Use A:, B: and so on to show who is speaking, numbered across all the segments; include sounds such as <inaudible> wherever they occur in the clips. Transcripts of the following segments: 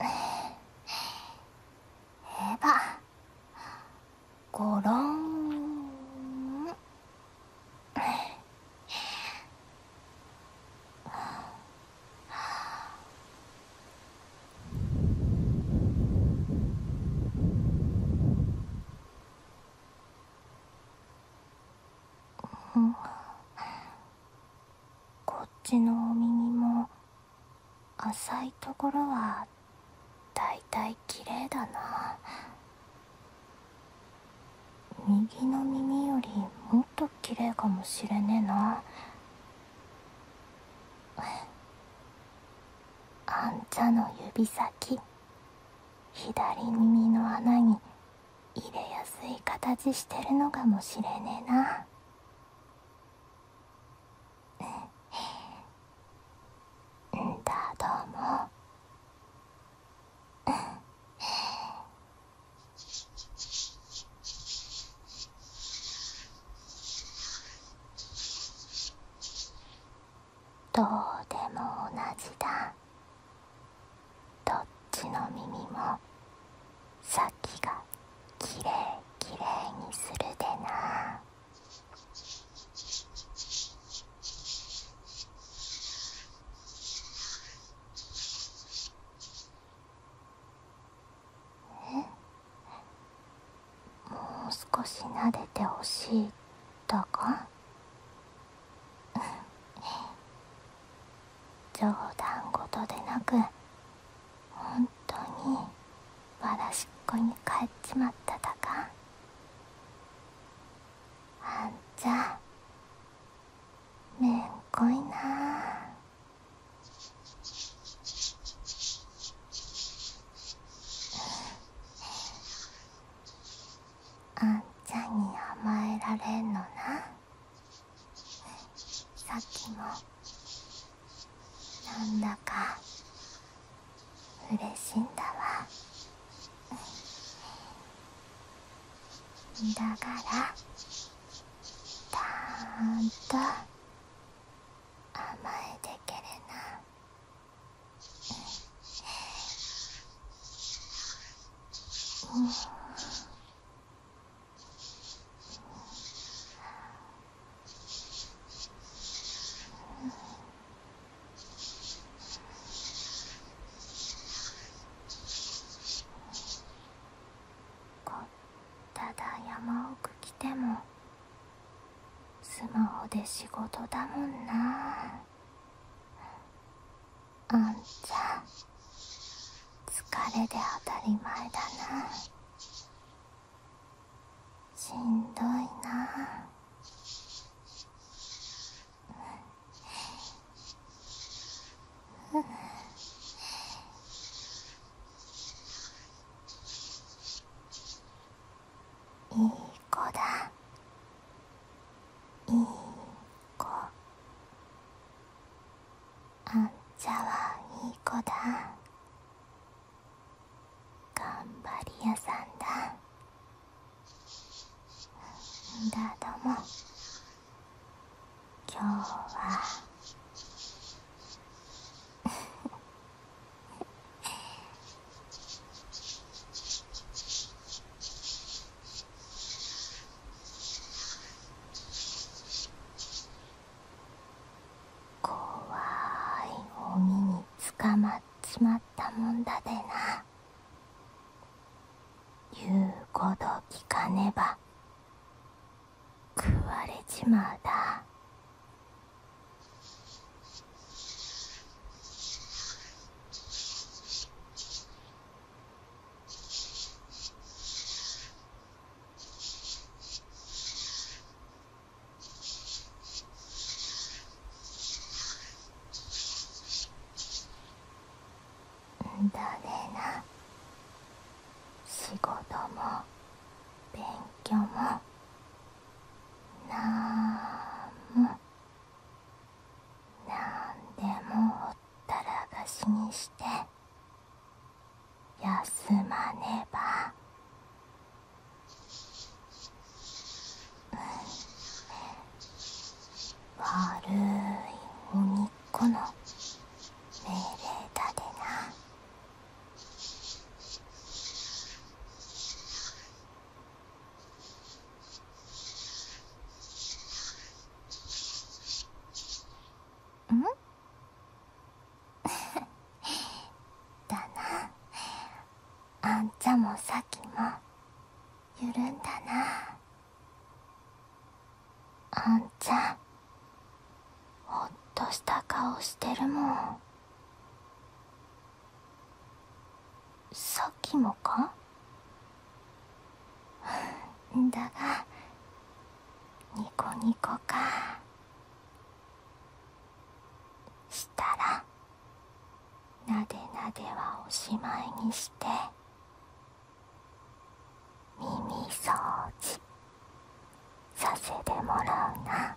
A: えばごろんうん。こっちのお耳も浅いところはだいたい綺麗だな右の耳よりもっと綺麗かもしれねえなあんたの指先左耳の穴に入れやすい形してるのかもしれねえなんだどうもどうでも同じだどっちの耳も先がきれいきれいにするでなえもう少し撫でてほしいだか冗談事でなく本当にわらしっこに帰っちまっただかあんちゃめんこいなあんちゃに甘えられんのなさっきもなんだかうれしいんだわだからたんと甘えてけれなうん。こ、ただ山奥来てもスマホで仕事だもんなあんちゃん疲れで当たり前だなしんどいなうんいい子だいいあんちゃはいい子だ頑張り屋さんだみんな、ども今日はあ <laughs> 怖いゴミにつかまっちまったもんだでな言うこと聞かねば食われちまうだん、だねな仕事も勉強もなんも何でもおったらかしにして休まねば。うん。悪い鬼っ子の命令だでなんだなあんちゃんもさっきもゆるんだなあんちゃんほっとした顔してるもん。さっきもかだがニコニコかしたらなでなではおしまいにして耳掃除させてもらうな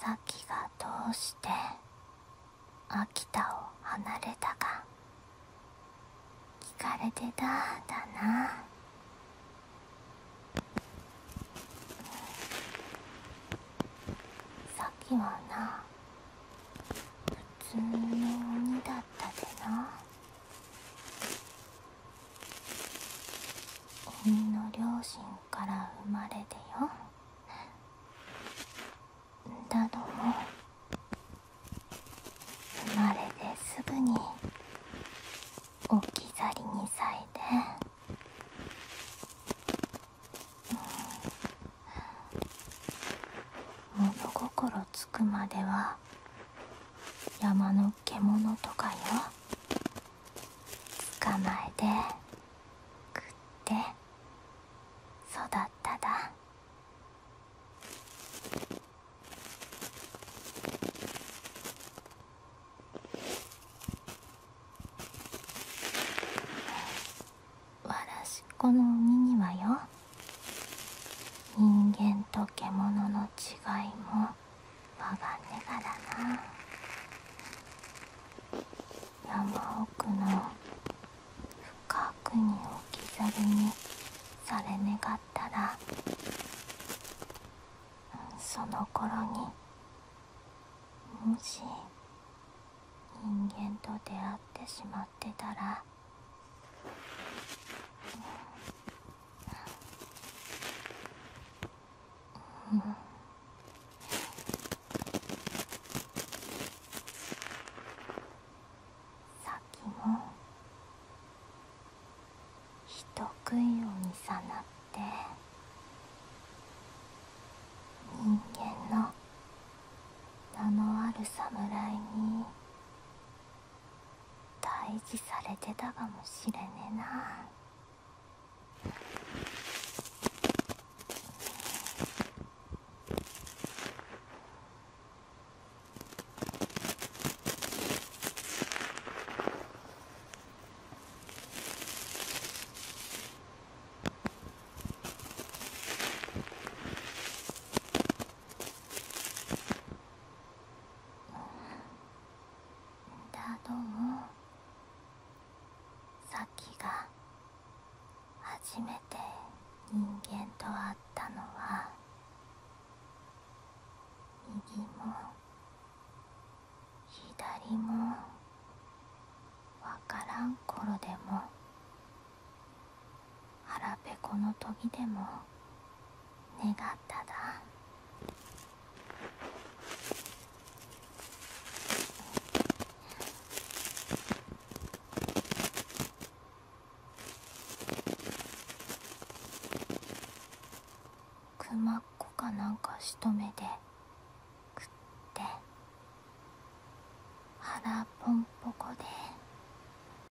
A: 咲がどうして秋田を離れたか聞かれてただな咲はな普通の鬼だったでな君の両親から生まれてよだども生まれてすぐに置き去りにさいて、物心つくまでは山の獣とかよ捕まえて食って育っただわらしっこの鬼にはよ人間と獣の違いもわがねがだな山奥の深くに置き去りにされねがったらその頃にもし人間と出会ってしまってたらさっきも人食い鬼さなって人間の名のある侍に大事されてたかもしれねえな。だどもさっきが初めて人間と会ったのは右も左もわからん頃でも腹ペコの研ぎでも願っただくまっこかなんかしとめで食って腹ポンポコで。